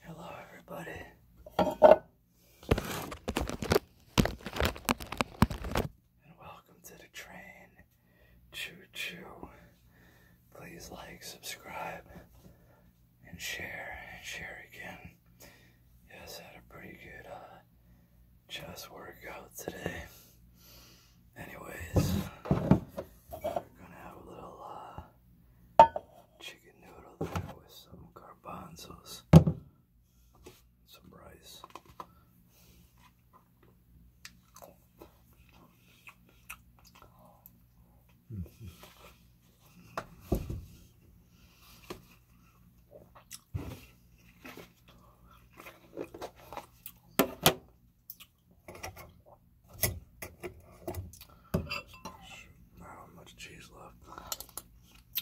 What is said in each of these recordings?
Hello, everybody. And welcome to the train. Choo choo. Please like, subscribe, and share. And share again. Yes, had a pretty good uh, chest workout today. Anyways, we're gonna have a little uh, chicken noodle with some garbanzos, some rice. Not much cheese left.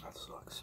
That sucks.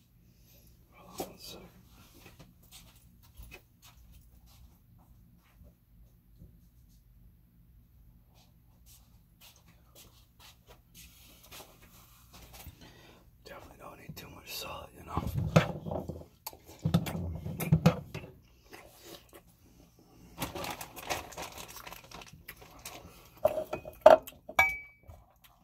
Hold on one second. Definitely don't need too much salt, you know.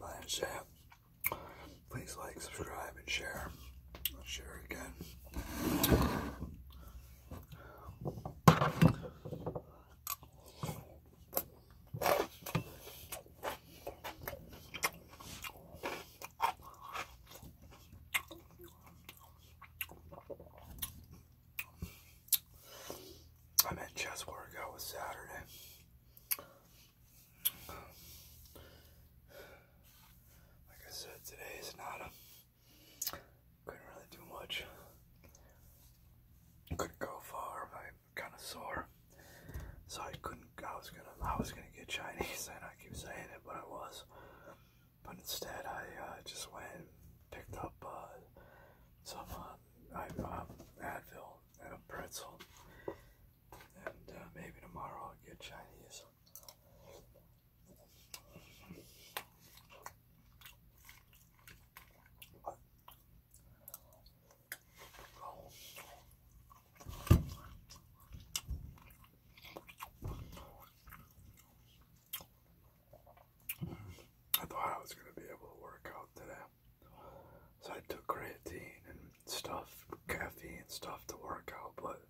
That's it. Please like, subscribe, and share. share again. I meant just where to with Saturday. Like I said, today is not a couldn't really do much. Couldn't go far. My kind of sore, so I couldn't. I was gonna. I was gonna get Chinese, and I keep saying it, but I was. But instead, I uh, just went and picked up uh, some uh, I, um, Advil and a pretzel, and uh, maybe tomorrow I'll get Chinese. I thought I was going to be able to work out today. So I took creatine and stuff, caffeine and stuff to work out, but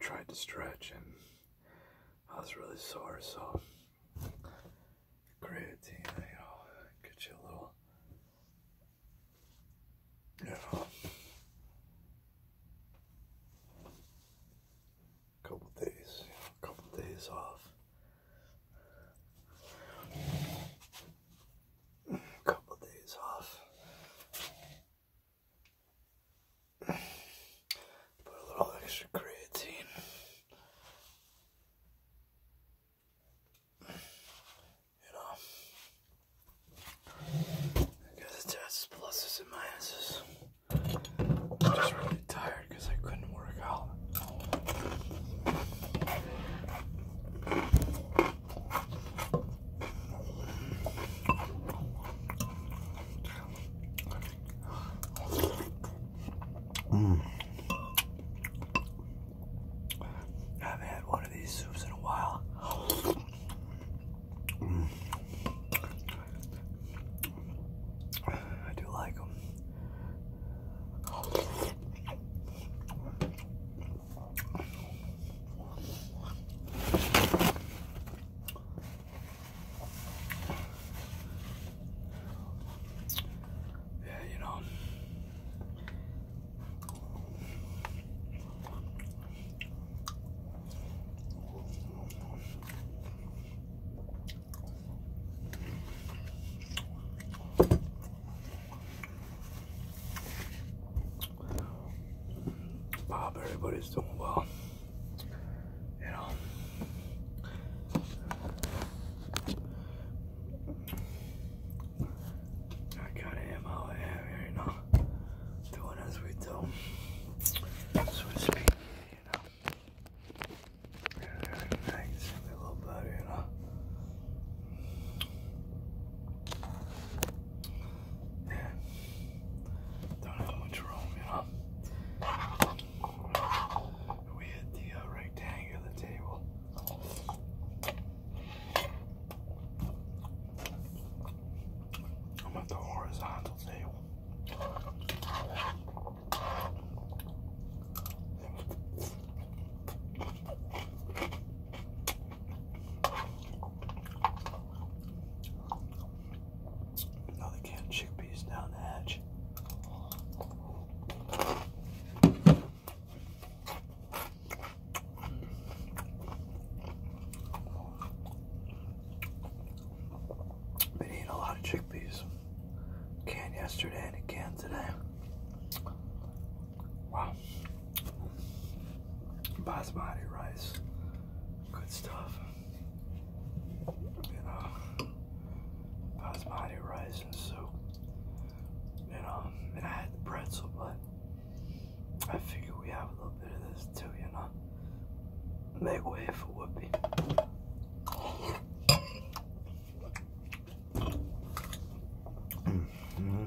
tried to stretch and I was really sore, so creatine, you uh, know, get you a little yeah. Couple days, you know, couple days off. Couple days off. Put a little extra creatine you know, because the tests, pluses, and minuses. I'm just really tired because I couldn't work out. Mm. I haven't had one of these soups in a while. I do like them. Yeah, you know, Bob, everybody's doing well. You know. I got him out here, you know, doing as we do, so to speak, you know. And everything's a little better, you know. Yeah. Don't have much room, you know we had the uh, rectangular table. I'm at the horizontal table. Another can of chickpeas down the hatch. Been eating a lot of chickpeas. Can yesterday and again today. Wow. Basmati rice. Good stuff. You know, basmati rice and soup and um, and I had the pretzel, but I figure we have a little bit of this too, you know. Make way for Whoopi. Mm-hmm.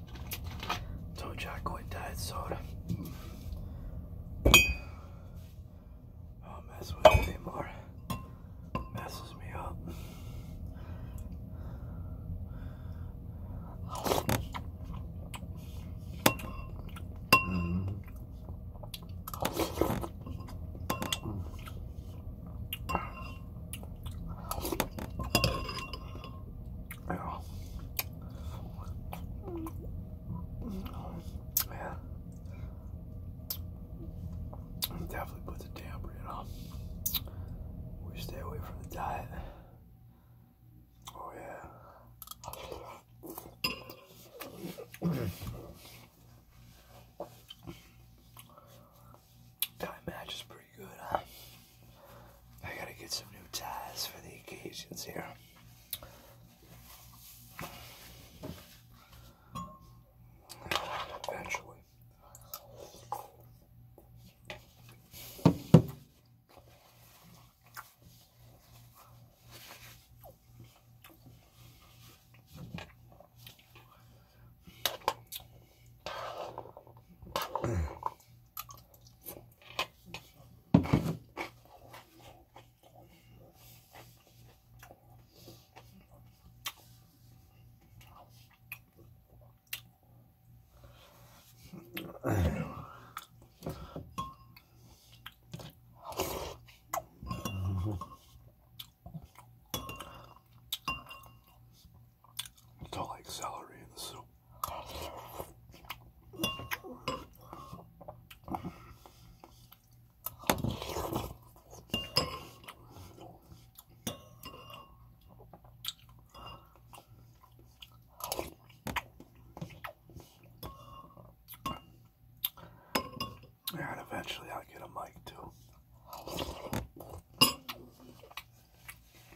Told you I quit diet soda. I do mess with it anymore. Messes me up. Yeah. definitely puts a damper, you We stay away from the diet. Oh yeah. Diet match is pretty good, I gotta get some new ties for the occasions here. Eventually. I don't like celery in the soup. And eventually I'll get a mic too.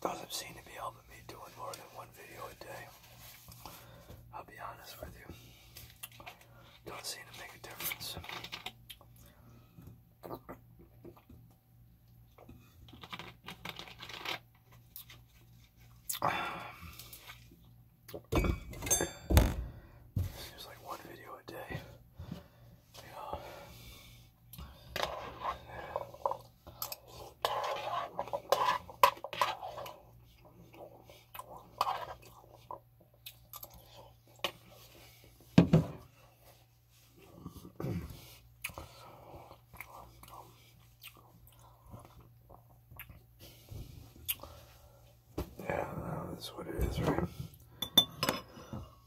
Doesn't seem to be helping me doing more than one video a day. I'll be honest with you. Doesn't seem to make a difference. Seems like one video a day yeah, that's what it is, right?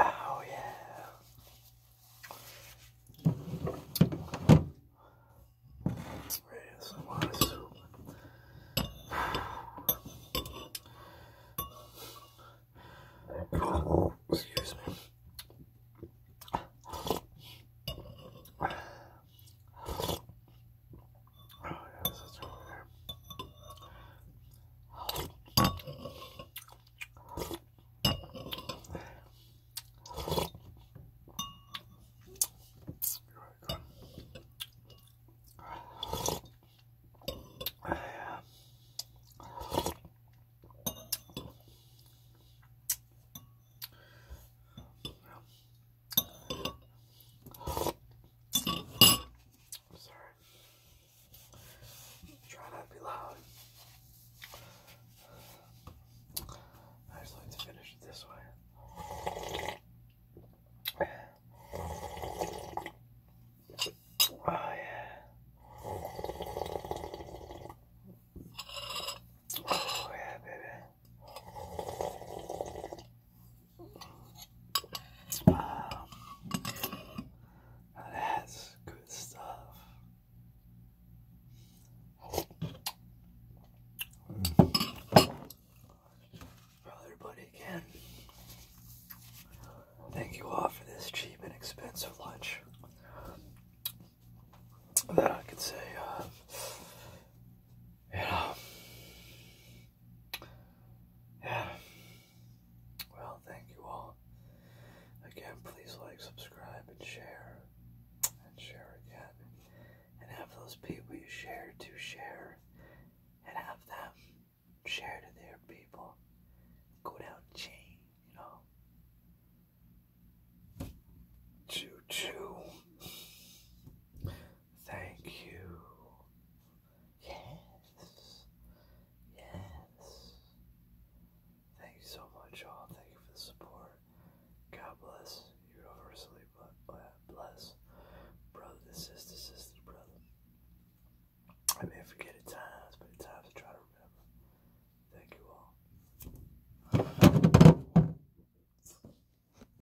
Oh, yeah. There's a lot of soup. Oh, excuse me. Oh, yes, that's right there. I'm sorry. Try not to be loud. I just like to finish it this way. Oh yeah. Oh yeah, baby. Wow. that's good stuff. Mm. Well, everybody, thank you all for this cheap and expensive lunch. That I could say, uh, yeah. Well, thank you all. Again, please like, subscribe, and share. And share again. And have those people you share to share. And have them share to their people. Go down chain, you know. Choo choo. Thank you. Yes. Yes. Thank you so much, all. Thank you for the support. God bless. Universally bless. Brother to sister, sister I may forget at times, but at times I try to remember. Thank you all.